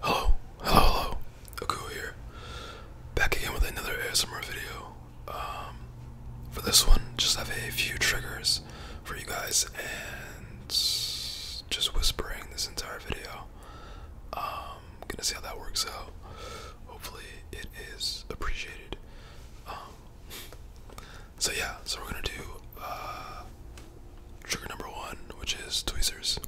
Hello, hello, hello. Aku here. Back again with another ASMR video. Um, for this one, just have a few triggers for you guys and just whispering this entire video. Um, gonna see how that works out. Hopefully, it is appreciated. Um, so yeah, so we're gonna do uh, Trigger number one, which is tweezers.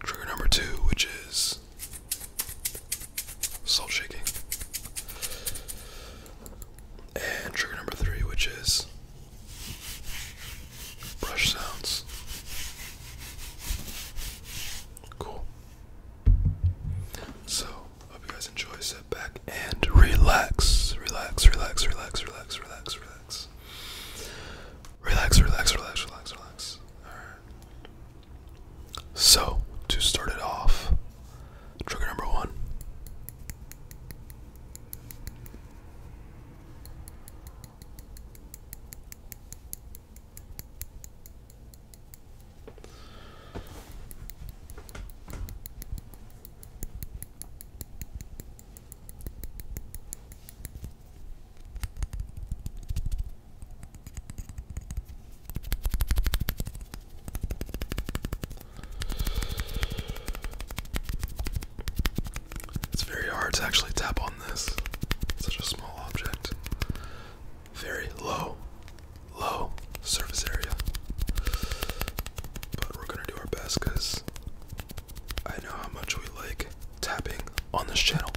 Trigger number two, which is salt shaking. And trigger number three, which is brush sounds. Cool. So Hope you guys enjoy. Sit back and relax. Relax, relax, relax, relax, relax, relax. Relax, relax, relax, relax, relax. Alright. So, to start it off, trigger number one. It's very hard to actually tap on this. such a small object very low, low surface area. But we're gonna do our best because I know how much we like tapping on this channel.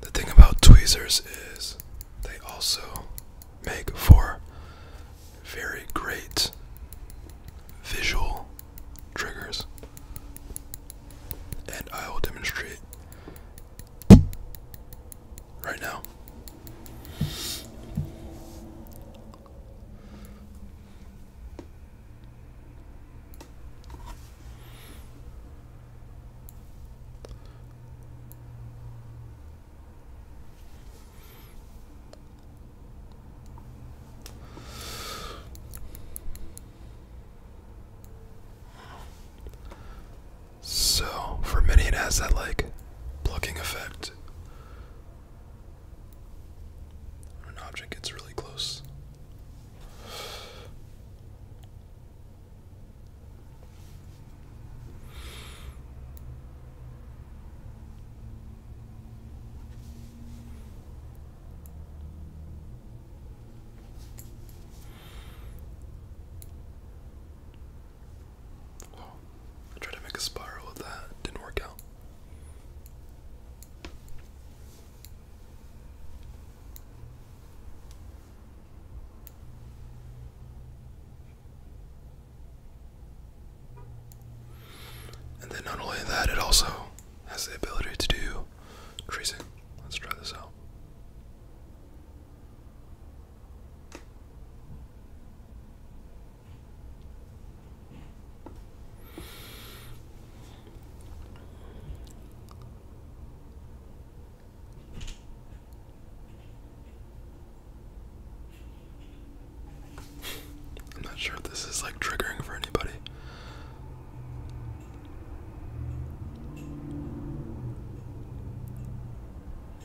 The thing about tweezers is they also make for very great visual triggers. And I will demonstrate right now. So, for many, it has that like blocking effect. When an object gets really close. I tried to make a spiral of that, didn't work out. And then not only that, it also has the ability to do tracing. Let's try this out. I'm not sure if this is like triggering for anybody.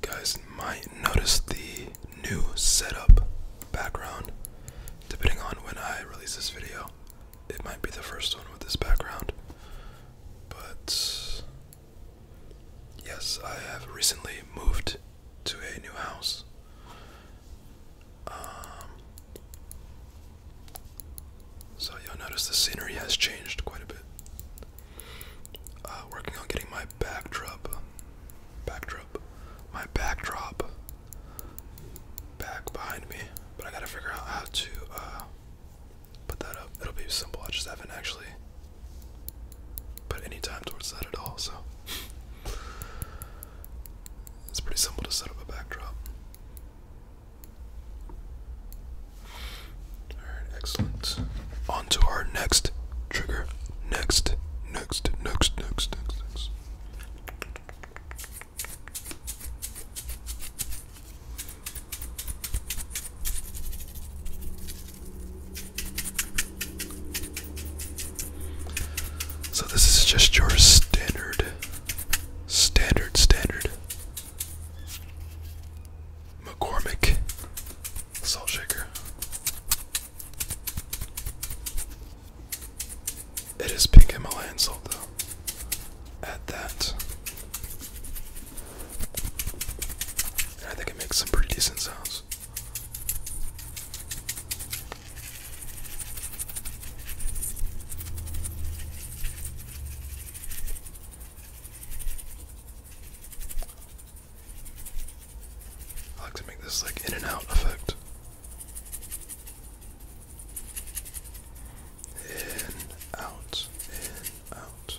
Guys might notice the new setup background. Depending on when I release this video, it might be the first one with this background. But yes, I have recently moved to a new house. Um, so you'll notice the scenery has changed quite a bit. Uh, working on getting my backdrop, backdrop, my backdrop back behind me, but I gotta figure out how to uh, put that up. It'll be simple. I just haven't actually put any time towards that at all, so it's pretty simple to set up a backdrop. Alright, excellent. On to our next trigger. Next, next, next, next, next, So this is just your standard standard standard McCormick salt shaker. It is pink Himalayan salt, though. Add that. I think it makes some pretty decent sounds. I like to make this like in and out effect. In, out, in, out.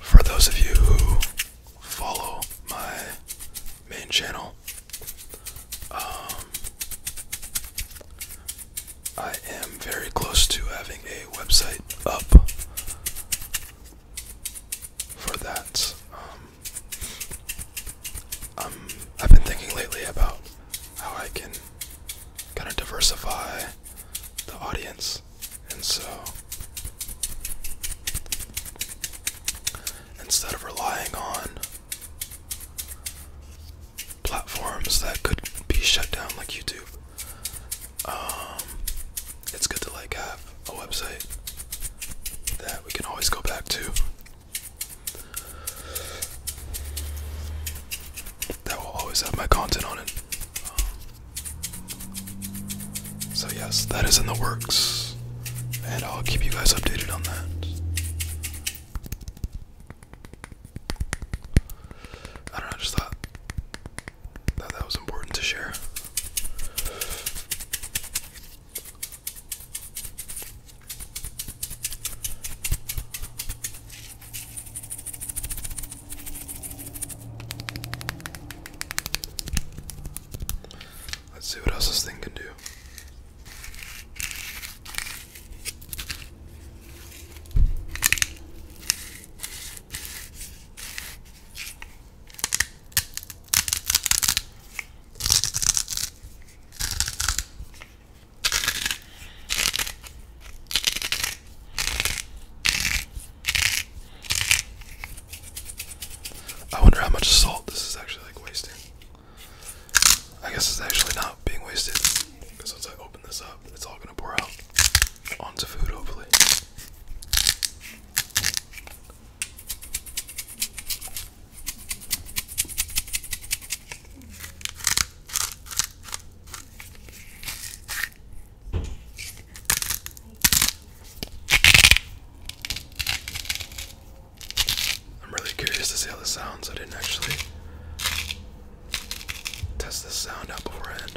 For those of you who follow my main channel, um, I am very close to having a website up for that. Um, I've been thinking lately about how I can kind of diversify the audience, and so instead of relying on platforms that could be shut down like YouTube. Um, it's good to like have a website that we can always go back to. That will always have my content on it. Um, so yes, that is in the works, and I'll keep you guys updated on that. I don't know, just thought that that was important to share. Let's see what else this thing can do. I wonder how much salt this is actually like wasting. I guess it's actually not being wasted because once I open this up, it's all gonna pour out onto food, hopefully. I'm really curious to see how this sounds. I didn't actually test this sound out beforehand.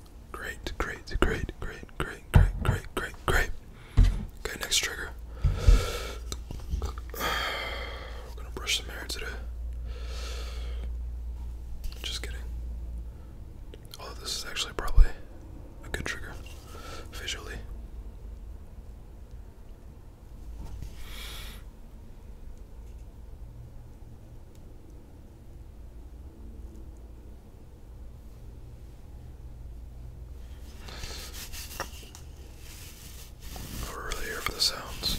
Great, great, great, great, great, great, great, great, great. Okay, next trigger. We're gonna brush some hair today. Just kidding. Although this is actually probably a good trigger visually. We're really here for the sounds.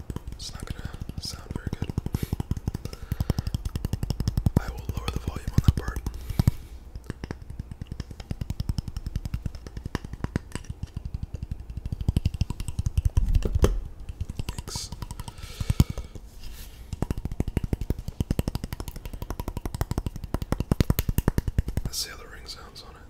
It's not gonna sound very good. I will lower the volume on that part. Thanks. Let's see how the ring sounds on it.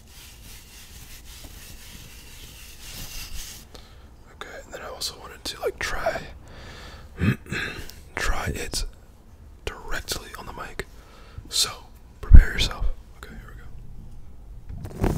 Okay, and then I also wanted to like try try it directly on the mic. So prepare yourself. Okay, here we go.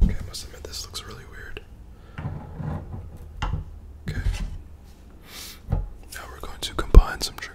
Okay, I must admit this looks really weird. Okay. Now we're going to combine some triggers.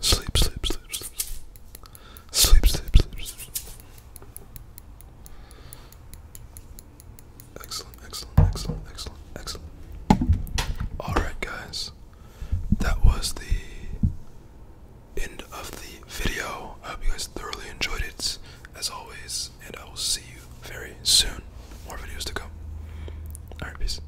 Sleep, sleep, sleep, sleep. Sleep, sleep, sleep, sleep. Excellent, excellent, excellent, excellent, excellent. Alright, guys. That was the end of the video. I hope you guys thoroughly enjoyed it, as always, and I will see you very soon. More videos to come. Alright, peace.